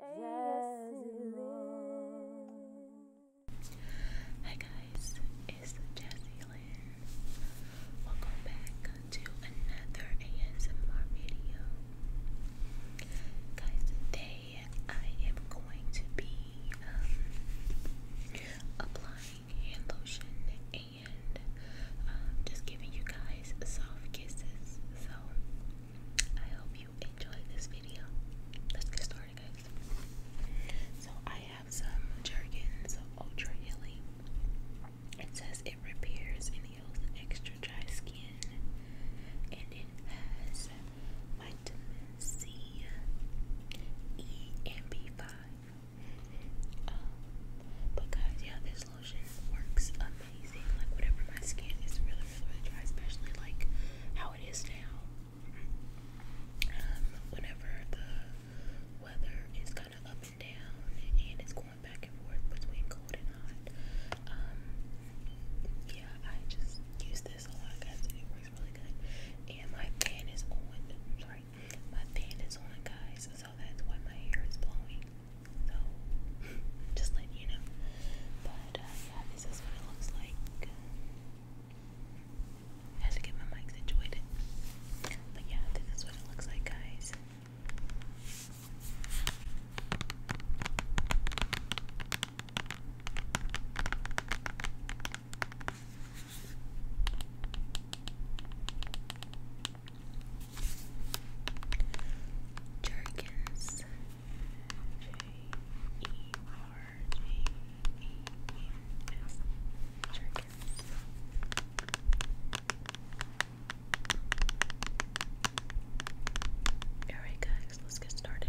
Hi guys, it's Jazzy Lair. Welcome back to another ASMR video. Guys, today I am going to be um, applying hand lotion and um, just giving you guys soft kisses. So I hope you enjoyed this video. Let's get started, guys. So I have some Jergens Ultra Healing. It says it repairs and heals extra dry skin, and it has vitamin C, E, and B5. Um, but guys, yeah, this this lotion works amazing. Like whatever my skin is really, really, really dry, especially like how it is now. Um, whenever the weather is kind of up and down, and it's going back and forth between cold and hot. Um, yeah, I just use this a lot, guys. It works really good. And my fan is on. I'm sorry, my fan is on, guys. So that's why my hair is blowing. So, just letting you know. But, uh, yeah, this is what it looks like. I have to get my mic situated. But, yeah, this is what it looks like, guys. Jerkins. J E R G E N S. Alright, guys, let's get started.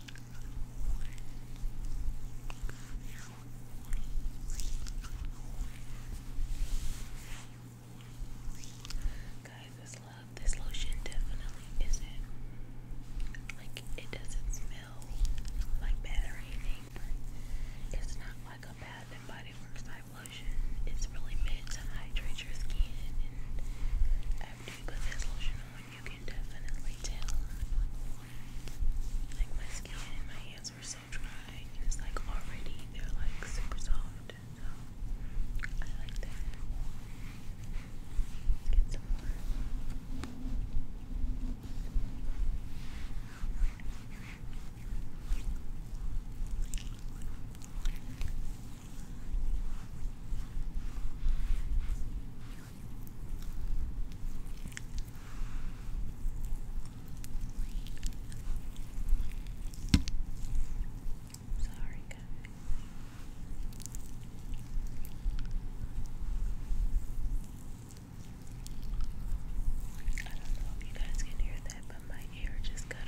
Guys, this lotion definitely isn't like it doesn't smell like bad or anything, but it's not like a bath and body works type lotion. It's really meant to hydrate your skin and after you put this lotion you can definitely tell. Like my skin and my hands were so dry, it's like already they're like super soft. So I like that. get some more. Sorry, guys. I don't know if you guys can hear that, but my ear just got on.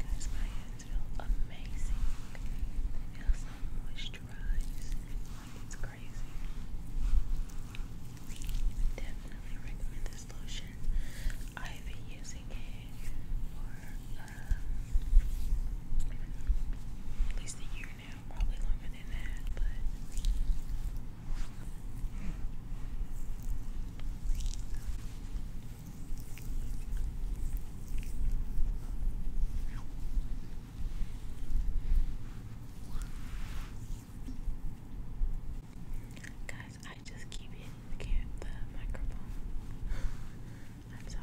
Guys, my hands feel amazing. They feel so moisturized. it's crazy. Definitely recommend this lotion. I've been using it for um, at least a year now, probably longer than that, but Guys, I just keep hitting the, the microphone. I'm sorry.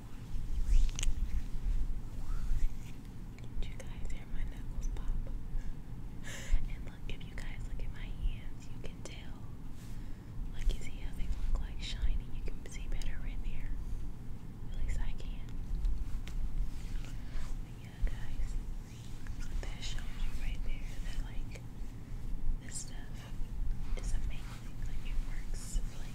Did you guys hear my knuckles pop? and look, if you guys look at my hands, you can tell. Like, you see how they look like shiny? You can see better right there. At least I can. yeah, guys, that shows right there that, like, this stuff is amazing. Like, it works really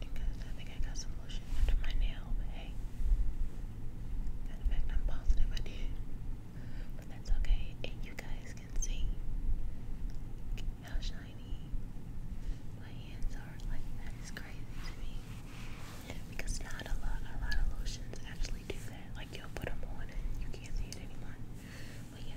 Because I think I got some lotion under my nail, but hey. In fact, I'm positive I did. But that's okay. And you guys can see how shiny my hands are. Like, that is crazy to me. Because not a lot, a lot of lotions actually do that. Like, you'll put them on and you can't see it anymore. But yeah. Okay.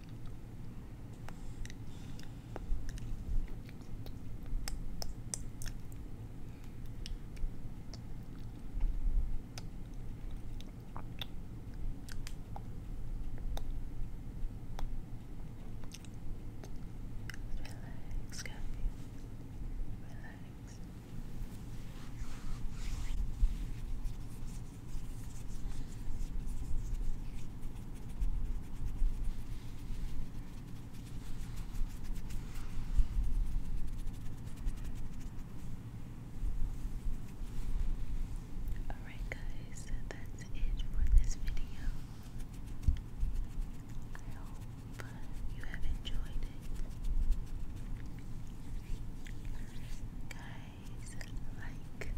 Relax, guys. Relax. Alright, guys, that's it for this video. I hope you have enjoyed it. Guys, like,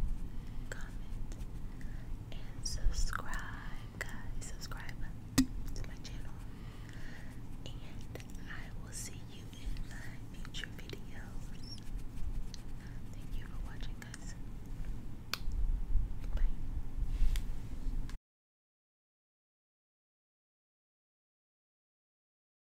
comment, and subscribe, guys. Subscribe to my channel. And I will see you in my future videos. Thank you for watching, guys. Bye.